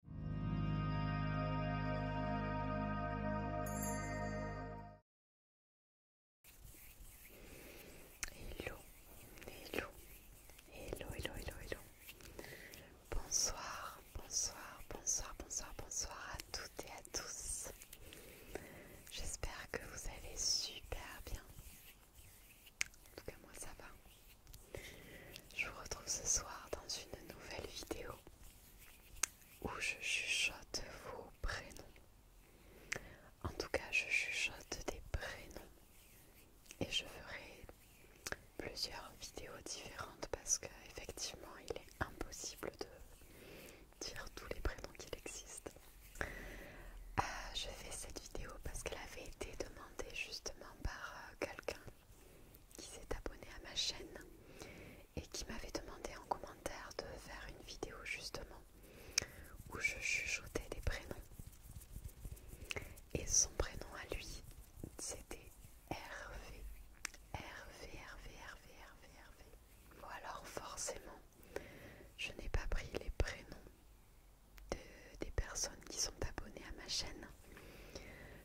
Hello, hello, hello, hello, hello, Bonsoir, bonsoir, bonsoir, bonsoir, bonsoir à toutes et à tous. J'espère que vous allez super bien. En tout cas, moi ça va. Je vous retrouve ce soir dans une nouvelle vidéo où je chuchote vos prénoms. En tout cas, je chuchote des prénoms et je ferai plusieurs vidéos différentes parce qu'effectivement, il est impossible de dire tous les prénoms qu'il existe. Euh, je fais cette vidéo parce qu'elle avait été demandée justement par euh, quelqu'un qui s'est abonné à ma chaîne et qui m'avait demandé en commentaire de faire une vidéo justement où je chuchotais des prénoms. Et son prénom à lui, c'était Hervé. Hervé, Hervé, Hervé, Hervé, Hervé. ou alors forcément, je n'ai pas pris les prénoms des personnes qui sont abonnées à ma chaîne.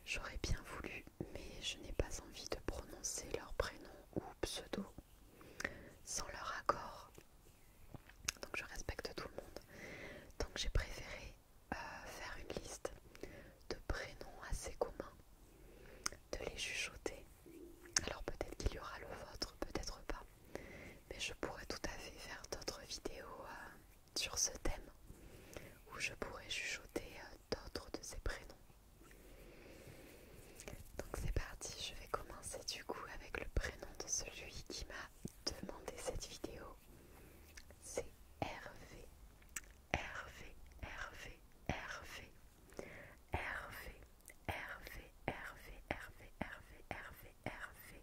J'aurais bien voulu, mais je n'ai pas envie de prononcer leur prénom ou pseudo sans leur accord. Donc je respecte tout le monde. Donc j'ai préféré euh, faire une liste de prénoms assez communs, de les chuchoter. Alors peut-être qu'il y aura le vôtre, peut-être pas. Mais je pourrais tout à fait faire d'autres vidéos euh, sur ce thème où je pourrais chuchoter euh, d'autres de ces prénoms. Donc c'est parti, je vais commencer du coup avec le prénom de celui qui m'a demandé cette vidéo. C'est Hervé. Hervé, Hervé, Hervé. Hervé, Hervé, Hervé, Hervé,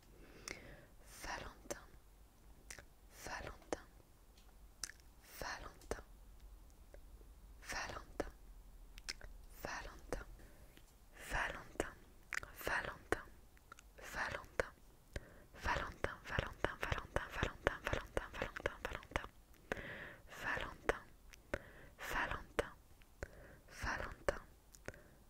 Valentin, Valentin, Valentin, Valentin, Valentin, Valentin, Valentin, Valentin, Valentin, Valentin, Valentin, Valentin, Valentin, Valentin, Valentin, Valentin, Valentin, Valentin, Valentin,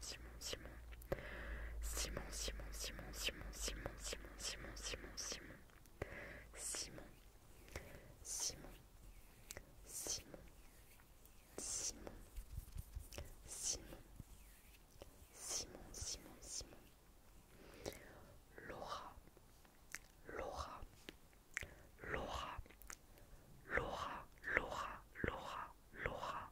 Simon, Simon, Simon, Simon, Simon, Simon, Simon, Simon, Simon, Simon, Simon, Simon, Simon, Simon, Simon, Simon, Simon, Simon, Simon, Laura, Laura, Laura, Laura, Laura, Laura, Laura,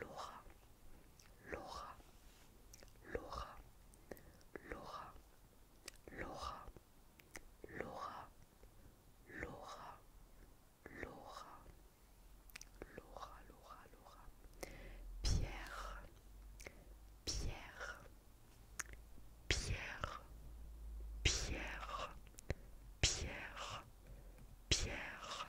Laura, Laura, Laura, Laura, Laura, Laura, Laura, Laura, Laura, Laura, Laura, Pierre, Pierre, Pierre, Pierre, Pierre, Pierre,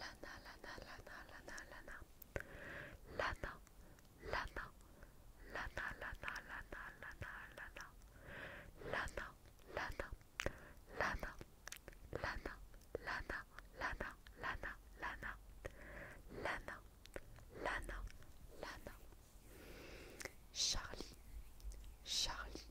Lana, Lana, Lana, Lana, Lana. Lana, Lana, Lana, Lana, Lana, Lana, Lana. Lana, Lana, Lana, Lana, Lana, Lana, Lana, Lana. Lana, Lana, Lana. Charlie, Charlie,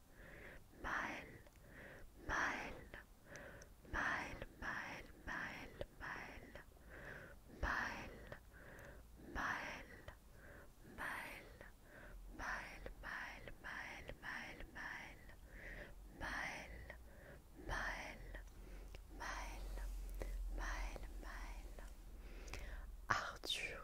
mile, mile, mile, mile, mile, mile, mile, mile, mile, mile, mile, mile, mile, mile, mile, mile, mile, mile, mile, Arthur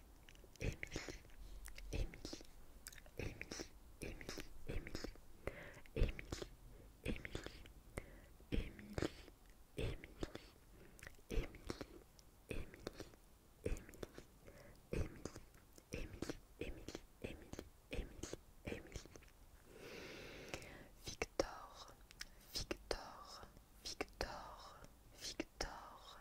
Émilie, Émilie, Émilie, Émilie, Émilie, Émilie, Émilie, Émilie, Émilie, Émilie, Émilie, Émilie, Émilie, Émilie, Victor, Victor, Victor, Victor,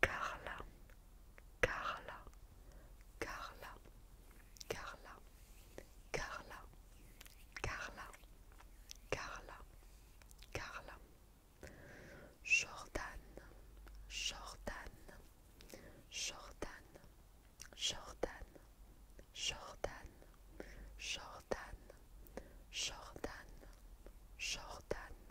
Carla, Carla, Carla, Carla, Carla, Carla, Carla, Carla, Jordan, Jordan, Jordan, Jordan, Jordan, Jordan, Jordan, Jordan.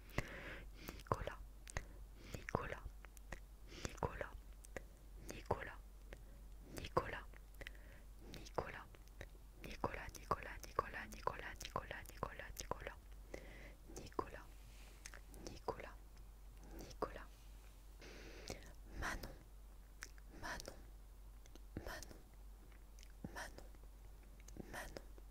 Nicolas, Nicolas, Nicolas, Nicolas, Nicolas, Nicolas, Nicolas, Nicolas, Nicolas, Nicolas, Nicolas, Nicolas, Nicolas, Nicolas, Nicolas, Nicolas, Manon, Manon, Manon, Manon, Manon.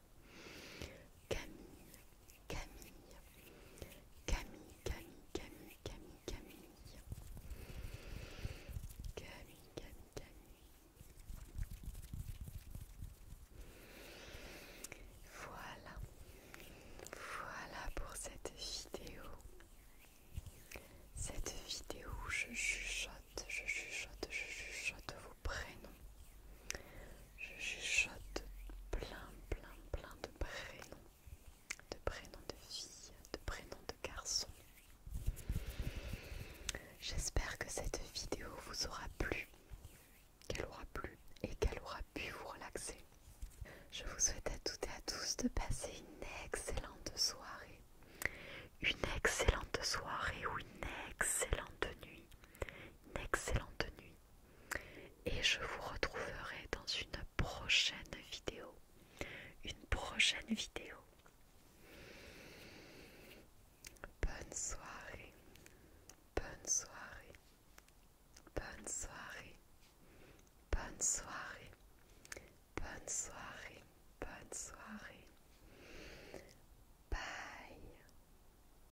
Camille, Camille, Camille, Camille, Camille, Camille, Camille, Camille, Voilà, voilà pour cette vidéo. Cette vidéo je chuchote, je chuchote, je chuchote vous prénoms je chuchote plein, plein, plein de prénoms, de prénoms de filles, de prénoms de garçons. J'espère que cette vidéo vous aura plu, qu'elle aura plu et qu'elle aura pu vous relaxer. Je vous souhaite à toutes et à tous de passer une excellente soirée, une excellente soirée ou une excellente nuit, une excellente nuit et je vous retrouverai dans une prochaine vidéo. Une prochaine vidéo. Bonne soirée. Bonne soirée. Bonne soirée. Bonne soirée. Bonne soirée. Bonne soirée. Bye.